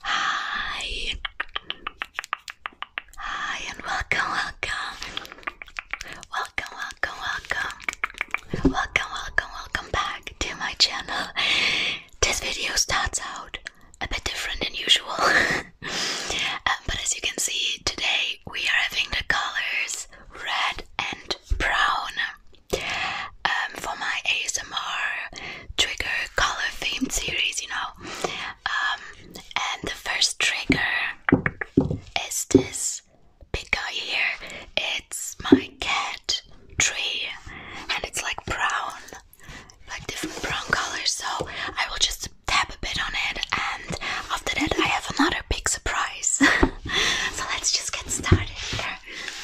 Hi. Hi and welcome, welcome. Welcome, welcome, welcome. Welcome, welcome, back to my channel. This video starts out a bit different than usual. Um, but as you can see, today we are having the colors red and brown. Um, for my ASMR trigger color themed series, you know. Um, and the first trigger is this big guy here. It's my cat tree, and it's like brown, like different brown colors. So I will just tap a bit on it, and after that, I have another big surprise. so let's just get started here.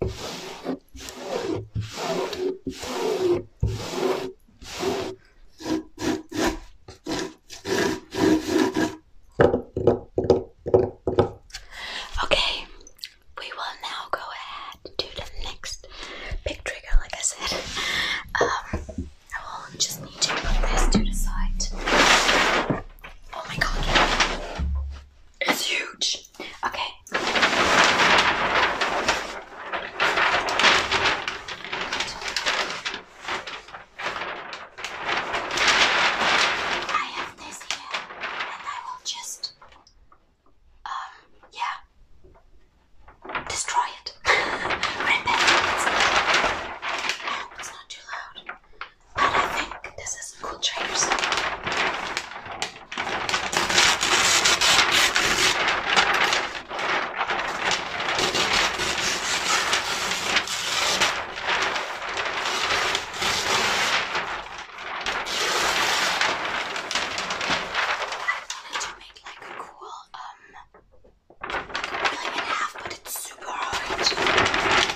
Okay, we will now go ahead to the next big trigger, like I said. Um, I will just need to put this to the side. Oh my god. It's huge. Okay. I have this here, and I will just, um, yeah, destroy it. Rip it. No, it's not too loud. I think this is cool traders. I wanted to make like a cool um like in half, but it's super hard.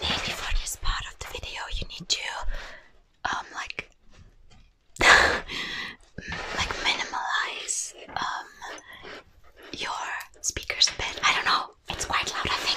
Maybe for this part of the video you need to um like like minimalize um your speakers a bit. I don't know. It's quite loud, I think.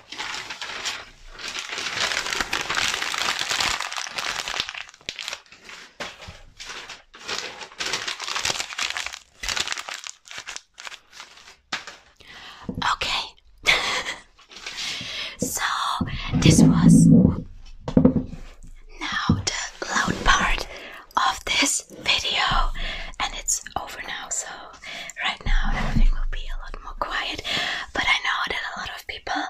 Okay, so this was now the loud part of this video, and it's over now, so right now everything will be a lot more quiet, but I know that a lot of people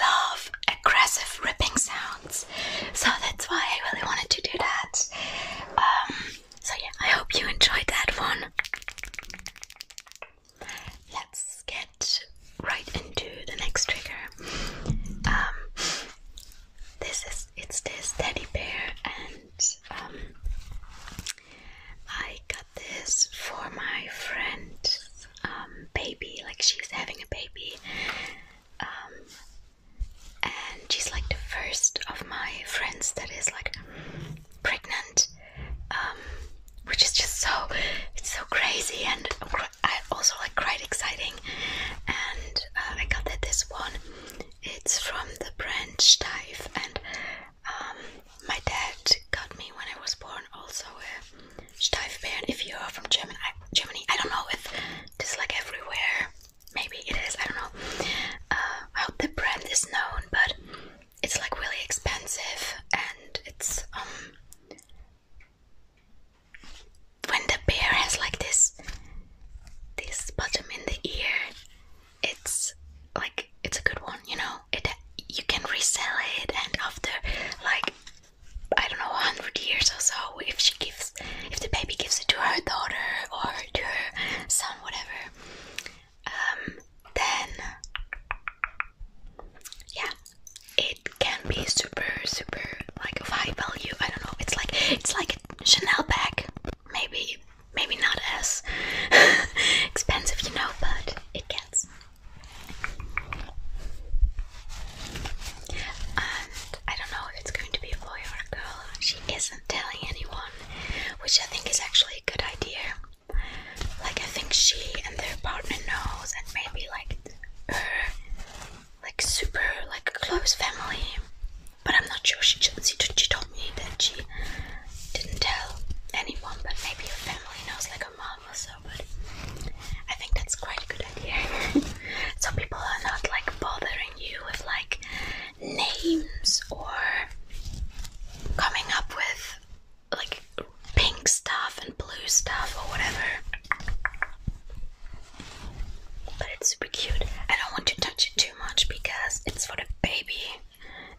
love aggressive ripping sounds, so that's why I really wanted to do that. Um, so, yeah, I hope you enjoyed that one. Let's get right into the next trigger. Um, this is it's this teddy bear, and um, I got this for my friend, um, baby, like she's having a baby. Um, and she's like the first of my friends that is like pregnant, um, which is just so it's so crazy and I also like quite exciting. And uh, I got this one. It's from the brand Steiff and um, my dad got me when I was born also a Steifbären. If you are from German, Germany, I don't know if this is like everywhere. Maybe it is. I don't know uh, how the brand is known, but it's like really expensive, and it's um when the bear has like this this bottom in the ear it's like it's a good one, you know. It you can resell it, and after like I don't know, hundred years or so, if she gives, if the baby gives it to her daughter or to her son, whatever, um, then yeah, it can be super, super like of high value. I don't know. It's like it's like a Chanel bag maybe maybe not as expensive, you know, but it gets. I don't know if it's going to be a boy or a girl. She isn't telling anyone, which I think is actually a good idea. Like I think she and their partner knows, and maybe like her, like super, like close family. But I'm not sure she she, she told me that she didn't tell anyone, but maybe her family knows, like her mom or so. But I think that's quite a good idea. so people are not like bothering you with like names or coming up with like pink stuff and blue stuff or whatever. But it's super cute. I don't want to touch it too much because it's for the baby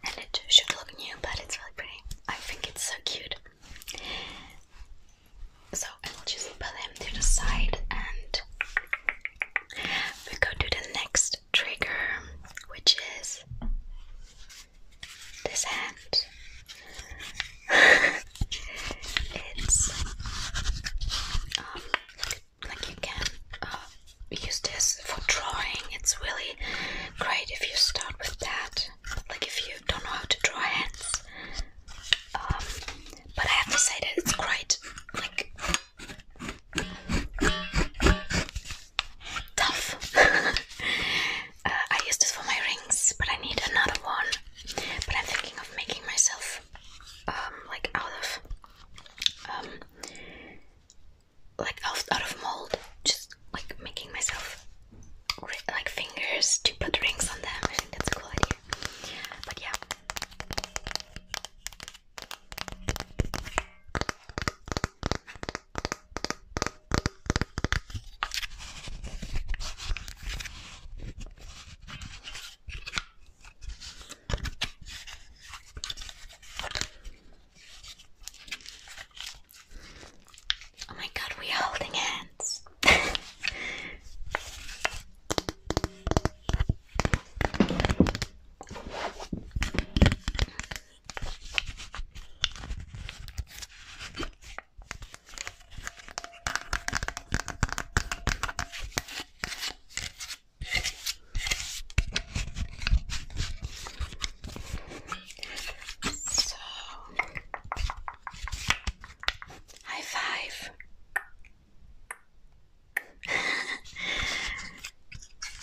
and it should look new, but it's really pretty. I think it's so cute. So I will just put him to the side, and we go to the next trigger, which is this hand. it's um, like you can uh, we use this for drawing. It's really great if you start with that. Like if you don't know how to draw hands. Um, but I have to say that it's great. like tough. Uh, I use this for my rings, but I need another one. But I'm thinking of making myself um, like out of um, like out, out of mold, just like making myself like fingers to put rings on them. I think that's a cool idea. But yeah. Oh my god, we're holding hands. So, high five.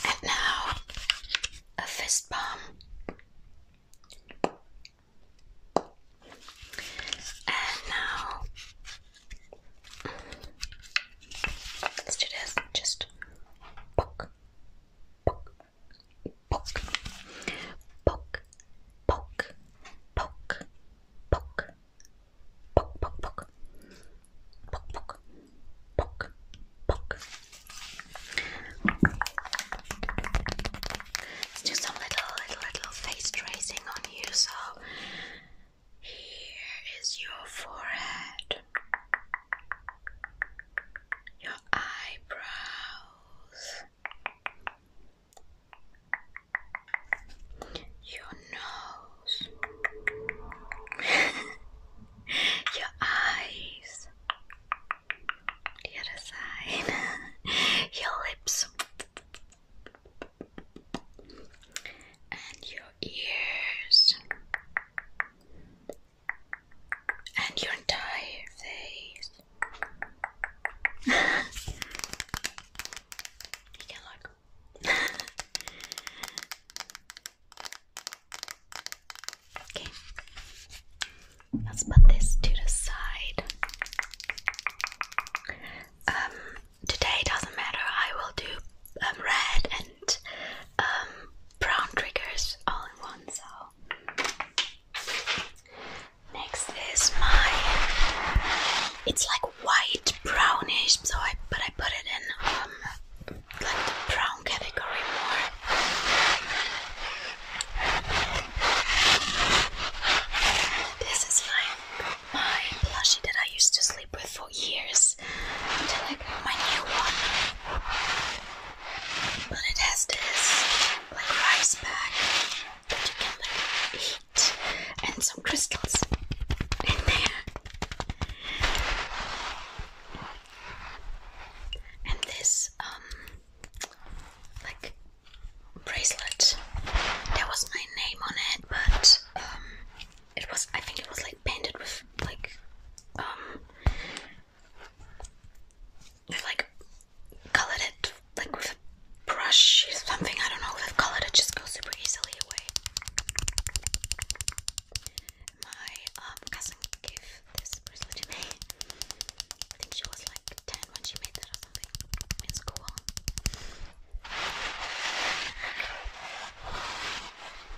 and now a fist bump. And now let's do this. Just poke, poke, poke, poke, poke, poke, poke, poke, poke, poke, poke, poke, poke. Let's do some little, little, little face tracing on you. So here is your forehead your eyebrows, your nose, your eyes, the other side, your lips, and your ears and your entire face. okay, let's put this to the side. Um, today doesn't matter. I will do um, red and um, brown triggers all in one. So next is my. It's like white brownish, so I but I put it in um like the brown category more. This is my, my plushie that I used to sleep with for years until I got my new one. But it has this like rice bag that you can like eat and some crystals in there. And this um like bracelet. There was my name on it, but um it was I think it was like painted with like um they like colored it like with a brush or something. I don't know. They've colored it just goes super easily away. My um, cousin gave this bracelet to me. I think she was like 10 when she made that or something in school.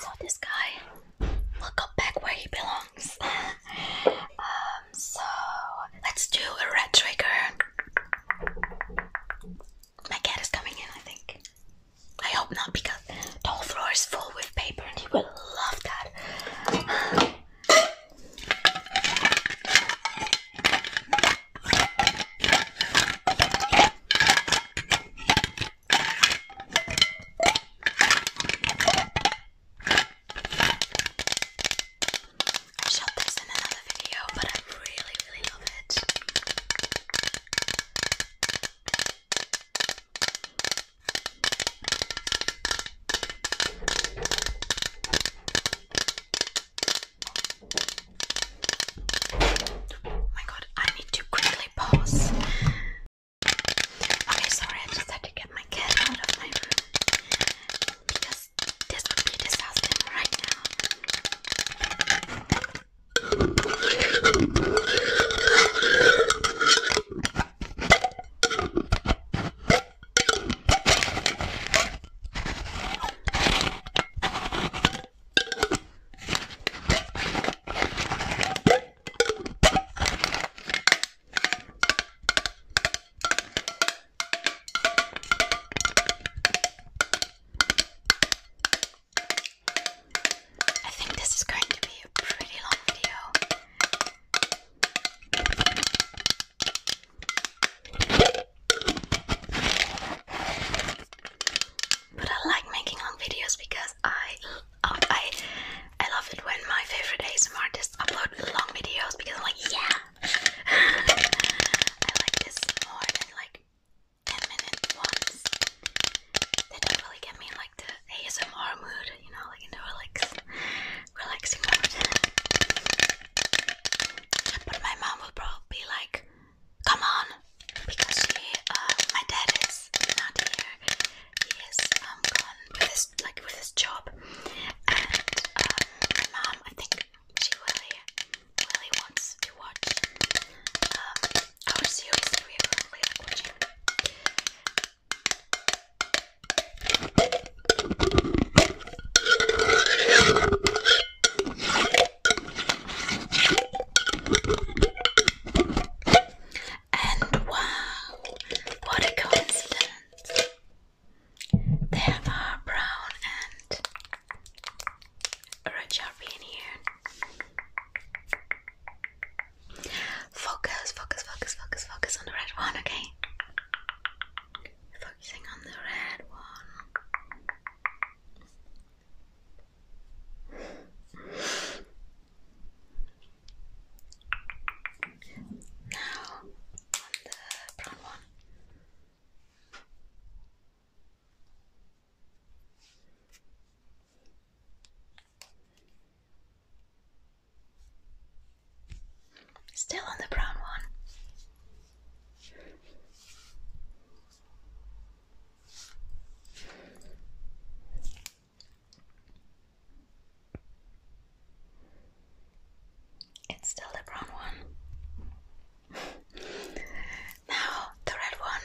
So this guy will go back where he belongs. um, so let's do a red trigger. My cat is coming in, I think. I hope not because the whole floor is full with paper and he will love that. I shot this in another video, but I really, really love it. Oh my god, I need to quickly pause. Okay, sorry, I just had to get my cat out of my room because this would be a disaster right now. I think this is going to be a pretty long video. But I like making long videos because I I I love it when my favorite ASMR artists upload long videos because I'm like yeah I like this more than like 10 minute ones they do get me like the ASMR mood you know like in the relax relaxing mood but my mom will probably be like Come on, because she, uh, my dad is not here. He is um, gone with his like with his job, and um, my mom. I think she really, really wants to watch um, our series that we are currently like, watching. And wow, what a coincidence! There are brown and red sharpie in here. Focus, focus, focus, focus, focus on the red one, okay? Focusing on the red one. Now on the brown one. Still on the brown one. It's still the brown one. now the red one.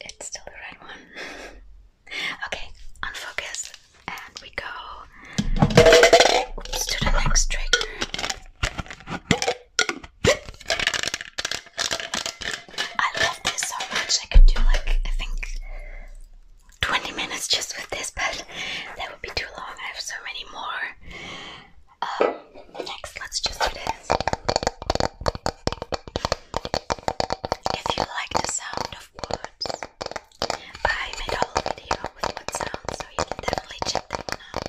It's still the right one. okay, unfocus, and we go to the next trigger. I love this so much. I could do like I think 20 minutes just with this, but that would be too long. I have so many more. Um, Next, let's just do this. If you like the sound of words, I made a whole video with what so you definitely check that out.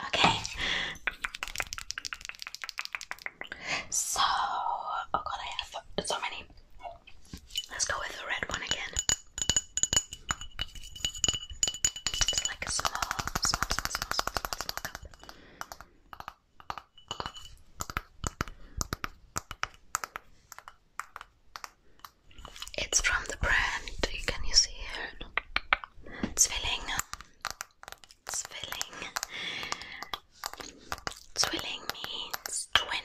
Okay. So, oh god, I have so many. Let's go with the red one again. It's like a small, small, small, small, small, cup. It's from the brand, can see here? Zwilling. Zwilling. Zwilling means twin.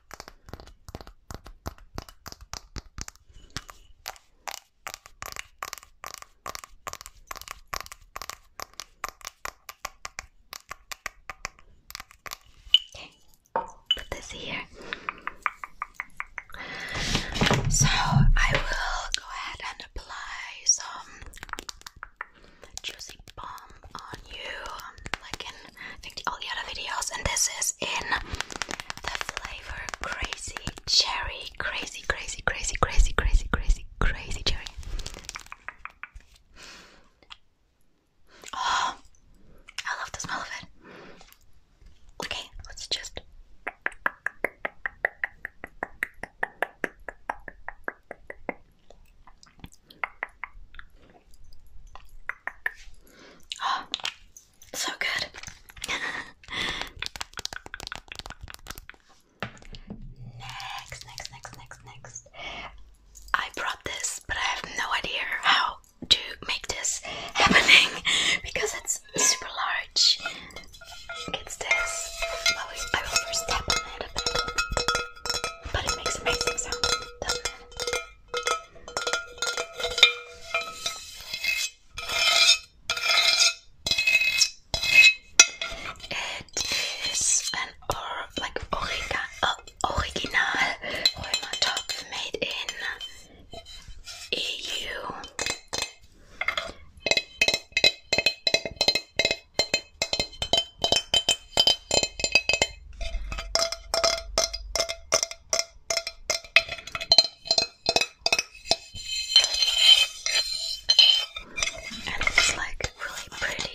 Okay, put this here. So I will go ahead and apply some juicy balm on you, um, like in I think all the other videos. And this is in the flavor crazy cherry, crazy, crazy, crazy, crazy, crazy, crazy, crazy cherry. Oh, I love the smell of it. Okay, let's just. So good. next, next, next, next, next. I brought this, but I have no idea how to make this happening because it's super large. It's this. I will first tap on it But it makes amazing sound, it is an or like original Römer made in EU. And it's like really pretty.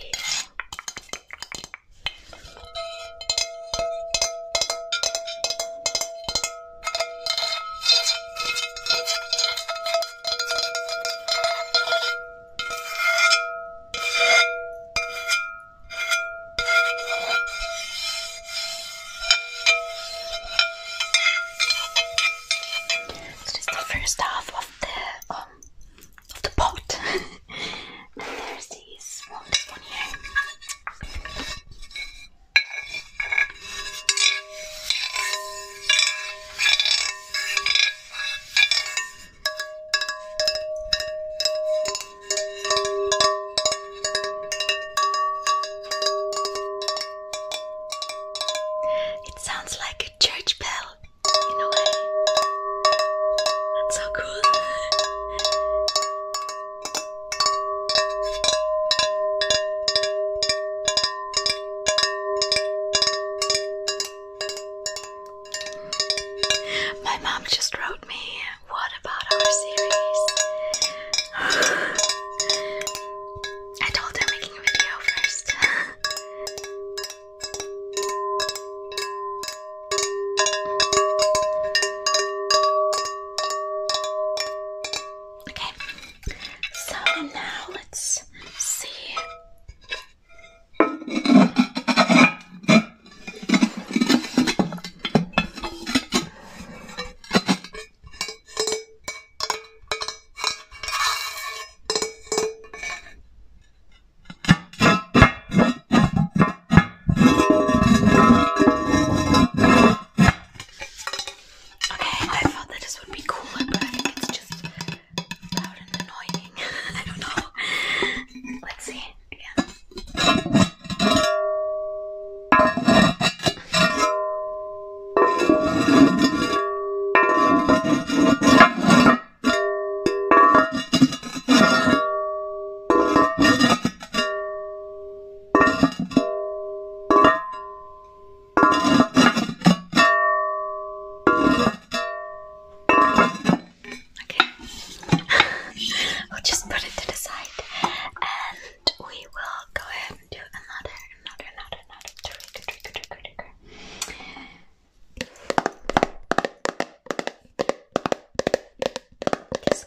So this is the first half of the um of the boat. and there's the smallest one here. It sounds like a church bell in a way. That's so cool. My mom just wrote me what about our series? I told her making a video first. okay, so now let's see. Okay, I thought that this would be cooler, but I think it's just loud and annoying. I don't know. Let's see again. Okay, we'll just put it to the side and we will go ahead and do another, another, another, another trigger, trigger, trigger, trigger. Just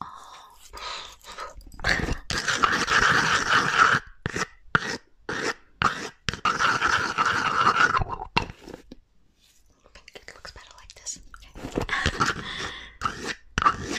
Oh. It looks better like this. Okay.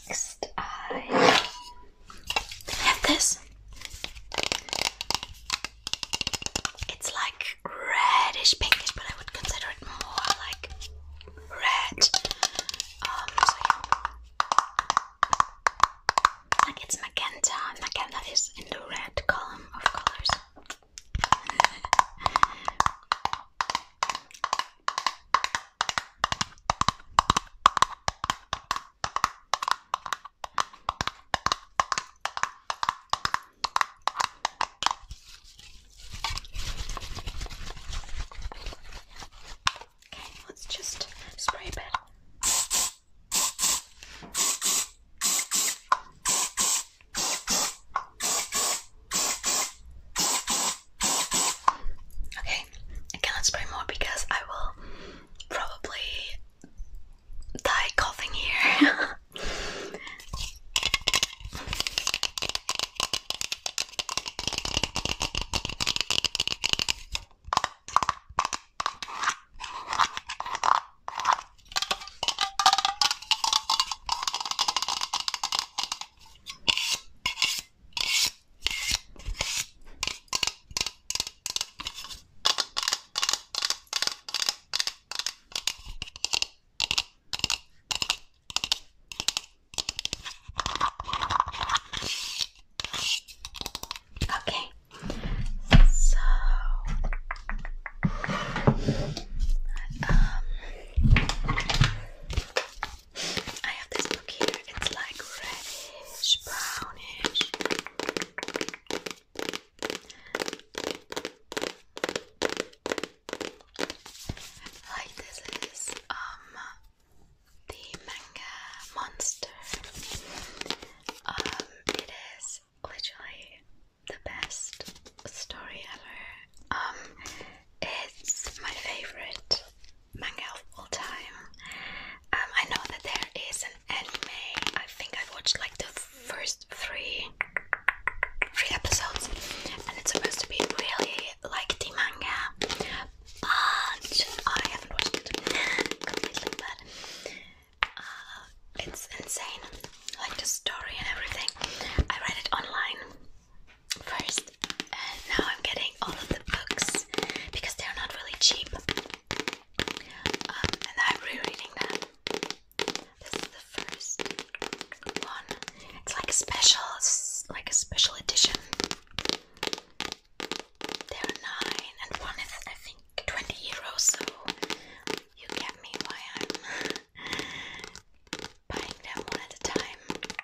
next, I have this. It's like reddish pinkish, but I would consider it more like red. Um, like it's magenta, magenta is in the red column of colors. Okay, let's just spray a bit. Okay, Okay, I cannot spray more because I will probably die coughing here. Okay, so um, I have this book here, it's like reddish, brownish. Like this is um the manga monster. Um it is literally the best story ever. Um it's my favorite manga of all time. Um, I know that there is an anime. I think i watched like the first three three episodes, and it's supposed to be really like the manga, but I haven't watched it completely. But uh, it's insane, like the story and everything. I read it online first. And uh, now I'm getting all of the books because they're not really cheap. Um, and I'm rereading them. This is the first one. It's like a special, like a special edition. There are nine, and one is I think 20 euros. So you get me why I'm buying them one at a time.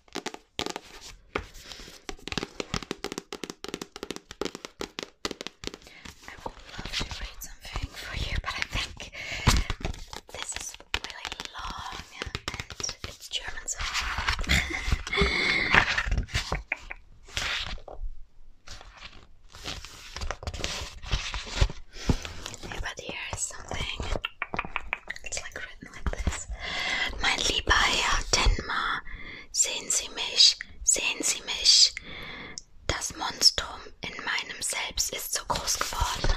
I would love to read something for you, but I think this is really long and it's German, so. yeah, but here is something It's like written like this. Mein lieber Herr Tenma, sehen Sie mich, sehen Sie mich. Das Monstrum in meinem Selbst ist so groß geworden.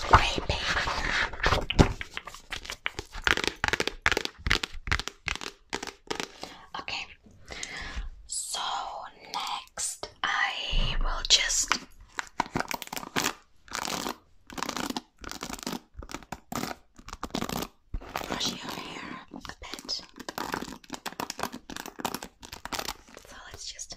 Creepy. Okay. So next I will just brush your hair a bit. So let's just.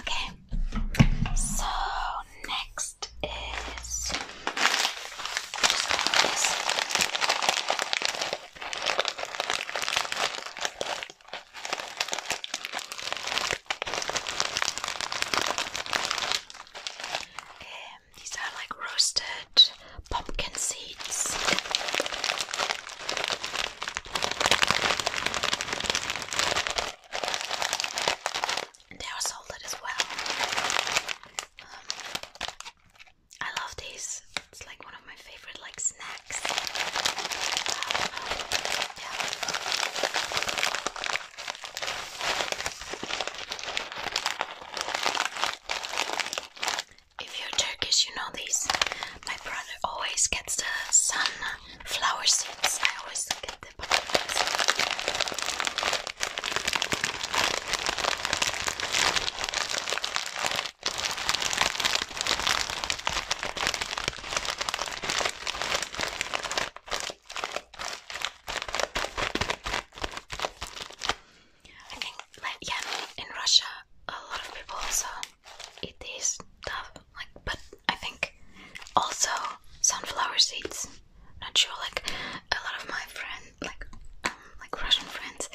Okay, so next is these are like roasted pumpkin seeds. And they are salted as well. Um, I love these. It's like one of my favorite like snacks. If you're Turkish, you know these. My brother always gets the sun flower seeds. I always get them. I think, like, yeah, in Russia, a lot of people also eat these stuff, like, but I think. Also, sunflower seeds. Not sure. Like a lot of my friends, like um, like Russian friends,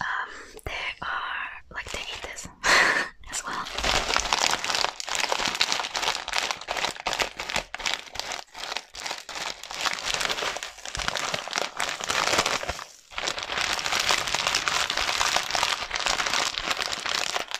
um, they are like they eat this as well.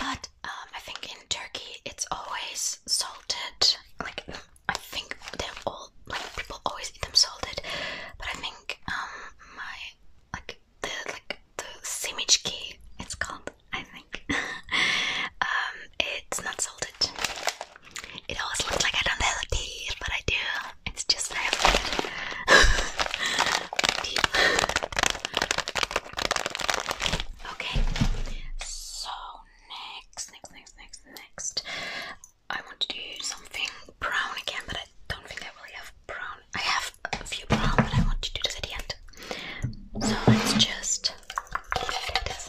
But um, I think in Turkey it's always salted. Like I think they're all like people always eat them salted. But I think um my like the like the simicki it's called I think. Um, it's not salted. It always looks like I don't have teeth, but I do. It's just I have teeth. okay, so next, next, next, next, next. I want to do something brown again, but I don't think I really have brown. I have a few brown, but I want to do this at the end. So let's just do this.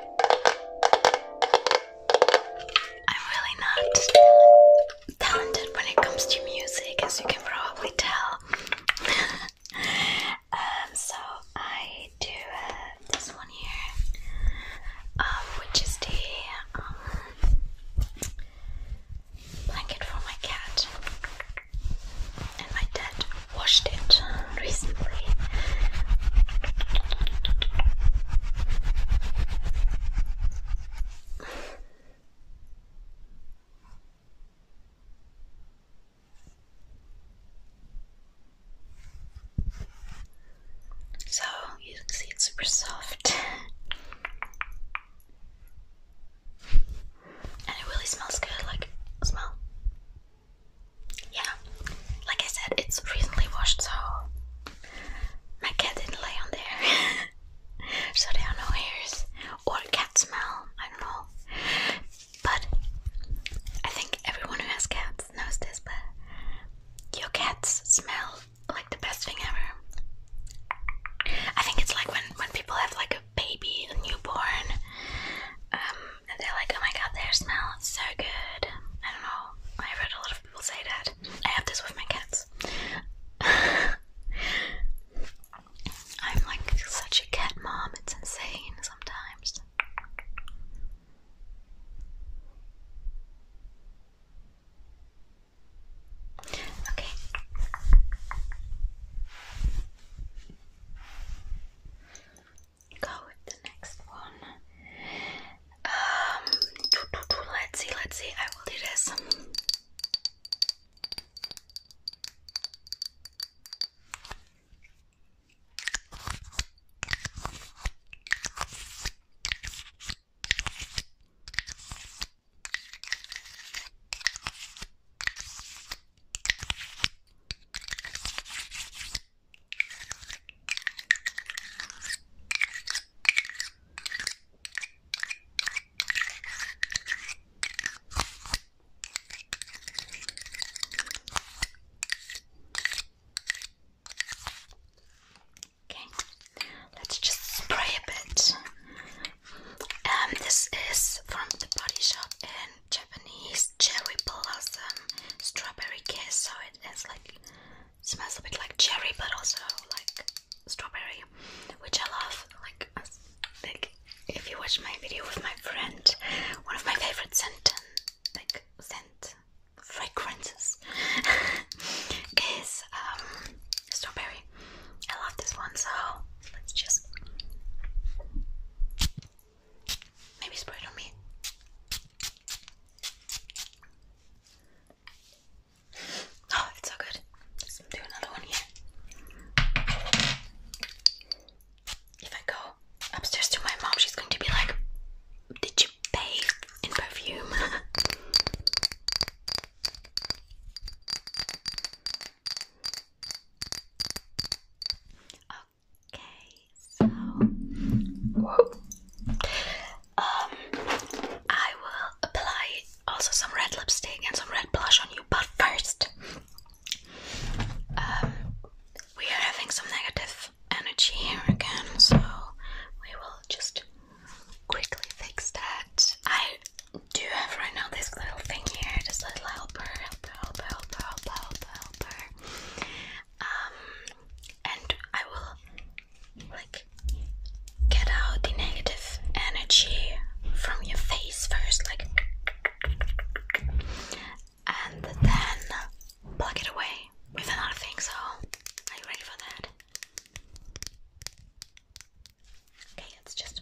I'm really not talented when it comes to music, as you can probably tell. Um, so I do uh, this one here, um, which is the um, blanket for my cat and my dad washed it recently. So you can see it's super soft and it really smells good like smell yeah, like I said, it's recently washed, so my cat didn't lay on there. so there are no hairs or cat smell, I don't know. But I think everyone who has cats knows this, but your cats smell like the best thing ever. I think it's like when, when people have like a baby, a newborn. Um, and they're like, oh my god, they smell is so good. I don't know. I have heard a lot of people say that. I have this with my cats. I'm like such a cat mom. It's insane sometimes. Okay go with the next one. Um, let's see, let's see. I will do this. Okay, let's just spray a bit. Um, this is from the Body Shop in Japanese cherry blossom strawberry kiss. So it is like smells a bit like cherry, but also like strawberry, which I love. Like, if you watch my video with my friend, one of my favorite scent, like scent fragrances is um, strawberry. I love this one, so let's just. Maybe spray it on me. Oh, it's so good. do another one here. If I go upstairs to my mom, she's going to be like, Did you pay in perfume? Oh, Okay, so um I will apply also some red lipstick and some red blush on you, but first um we are having some negative energy here again, so we will just quickly fix that. I do have right now this little thing here, this little helper, helper, helper, helper, helper, helper, helper um, and I will like get out the negative energy from your face first, like, and then plug it away with a lot of things. So, are you ready for that? Okay, it's just.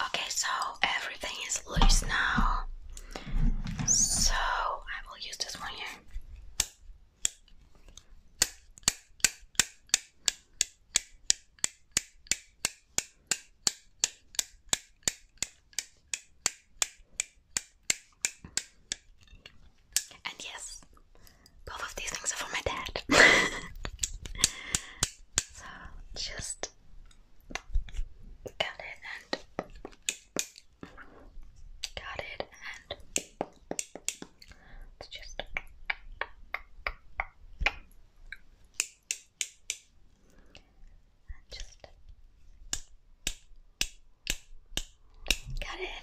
Okay, so everything is loose now. So I will use this one here. And yes, both of these things are for my dad. so just got it and got it and just and it.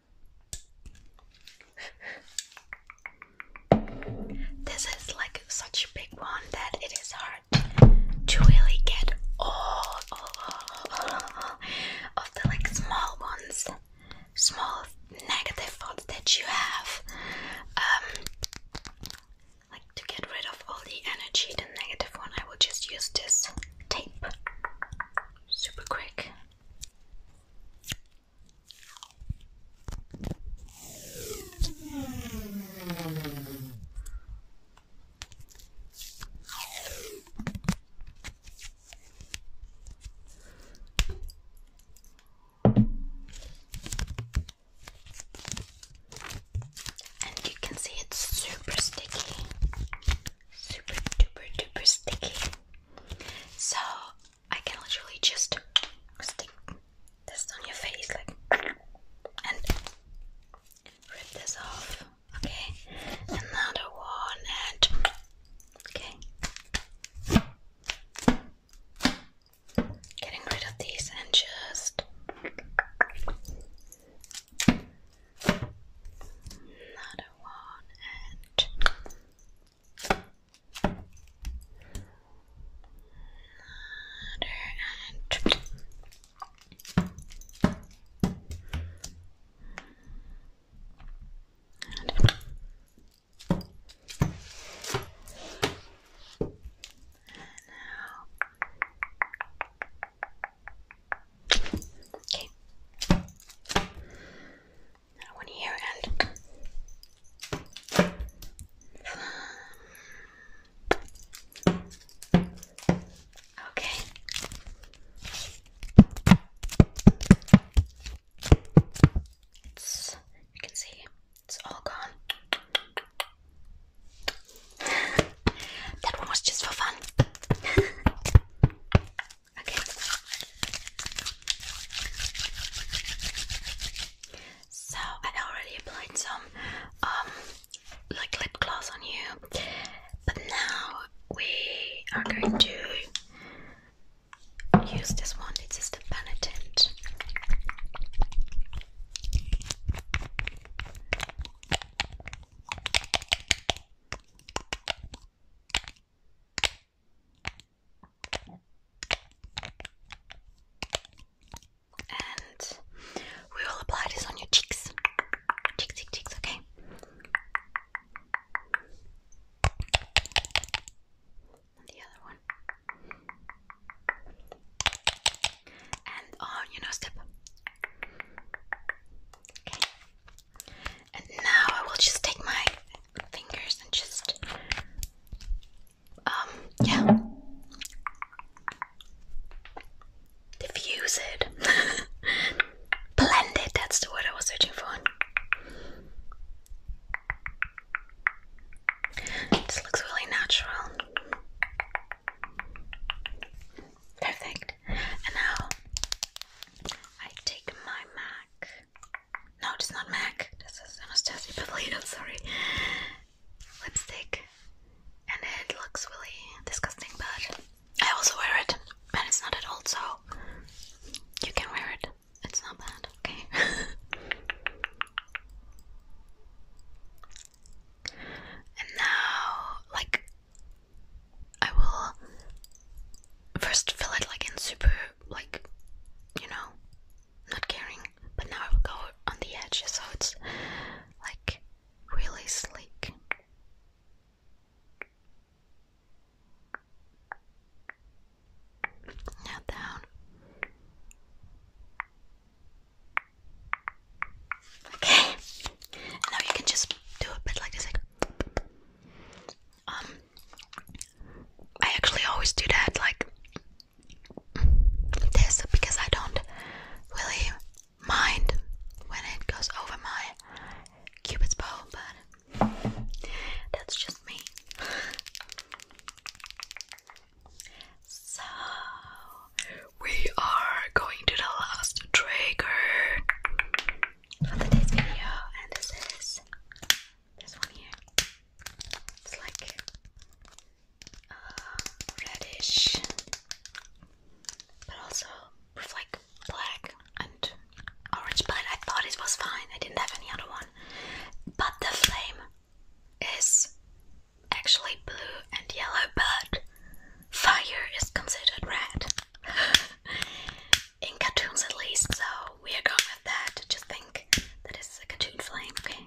This is like such a big one that it is hard to really get all, of the like small ones, small negative thoughts that you have. Um, like to get rid of all the energy, the negative one, I will just use this tape super quick. And you can see it's super sticky super duper duper sticky. So I can literally just stick this on your face like and rip this off. Okay. Another one and okay. Getting rid of these and just another one and another and and and now Okay. Another one here and Okay. you can see it's all gone. that one was just for fun. Okay. So I already applied some um like lip gloss on you, but now we are going to use this one. It's just a penitent. And we will apply this on your cheeks. Cheeks, cheeks, okay? the other one. And on your nose tip. Okay. And now I will just take my fingers and just, um, yeah, diffuse it, blend it. That's the word I was searching for. This looks really natural. Perfect. And now I take my Mac. No, it's not Mac. This is Anastasia Pavlidou. Sorry, lipstick, and it looks really disgusting, but I also wear it, and it's not at all. So you can wear it. It's not bad. Okay. And now, like I will first fill it like in super, like, you know, not caring, but now I will go on the edge so it's like really sleek. Now down. Okay. Now you can just do a bit like this. Um, I actually always do that, like this, because I don't really mind when it goes over my cupid's bow, but that's just me. So, we are going to the last trigger for today's video, and this is this one here. It's like uh, reddish, but also with like black and orange. But I thought it was fine. I didn't have any other one. But the flame is actually blue and yellow, but fire is considered red. in cartoons at least, so we are going with that. Just think that is a cartoon flame, okay?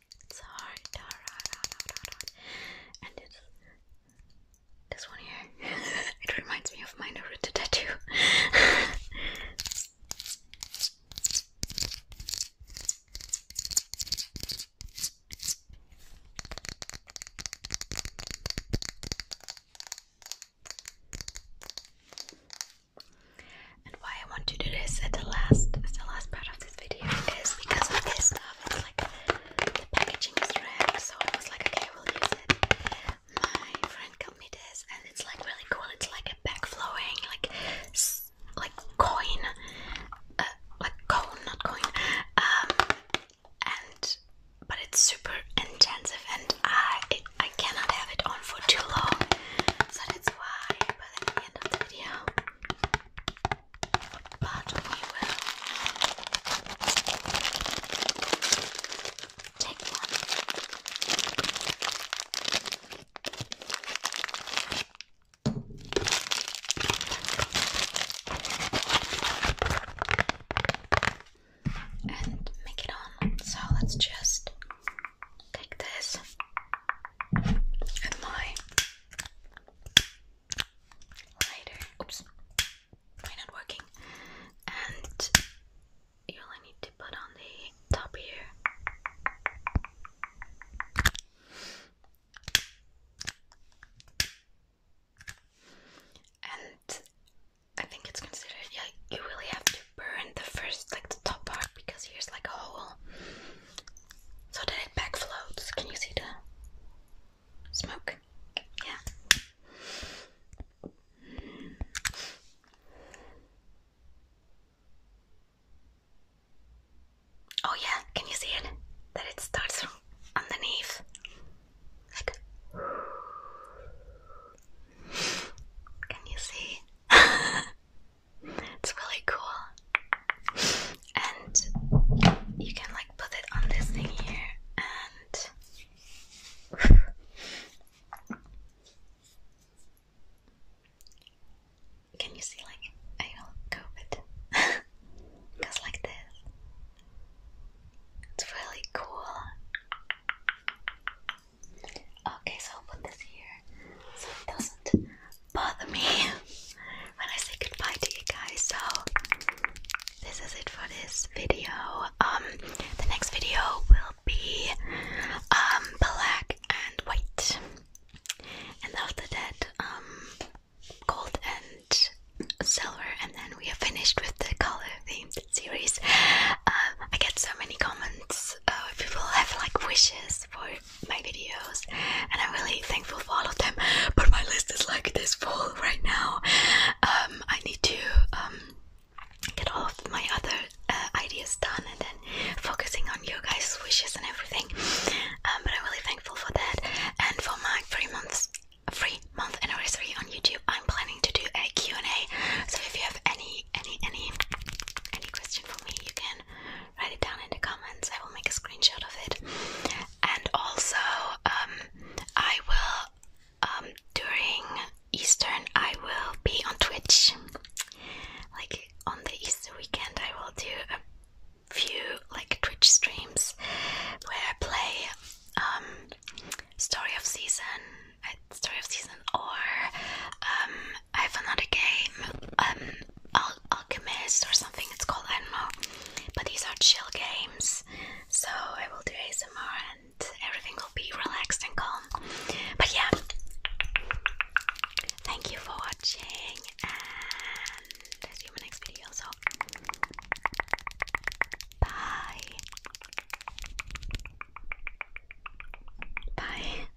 It's And it's this one here. it reminds me of my Naruto tattoo. And why I want to do this at the last at the last part of this video is because of this stuff. It's like the packaging is red, so I was like, okay, we will use it. My friend got me this, and it's like really cool. It's like a back flowing, like like coin, uh, like cone, not coin. Um, and but it's super intensive, and I it, I cannot have it on for too long, so that's why by the end of the video. But we will take one. And make it on. So let's just Take this and my lighter. Oops, why not working? And you only need to put on the top here. And I think it's considered, yeah, you really have to Burn the first, like the top part, because here's like a hole, so that it back floats. Can you see the smoke? Yeah. Oh yeah, can you see it? That it starts from underneath. Like Can you see? It's really cool. And you can like put it on this thing here and Can you see like I will cope it? Goes like this. It's really cool. Okay, so I'll put this here so it doesn't bother me when I say goodbye to you guys. So this is it for this video. Um, the next video will be um black and white, and after that, um, gold and silver, and then we are finished with the color themed series. Um, I get so many comments. Uh, people have like wishes for my videos and I'm really thankful for all of them but my list is like this full right now um, I need to um, get all of my other uh, ideas done and then focusing on you guys wishes and everything um, but I'm really thankful for that and for my three months free month anniversary on YouTube I'm planning to do a Q&A so if you have any any any any question for me you can write it down in the comments. I will make a screenshot of it. And also, um, I will um, during Eastern, I will be on Twitch. Like on the Easter weekend, I will do a few like Twitch streams where I play um, Story of Season, uh, Story of Season, or I have another game, um, Al Alchemist or something it's called, Enmo, But these are chill games, so I will do ASMR and everything will be relaxed and calm. But yeah, thank you for watching, and see you in my next video. So, bye. Bye.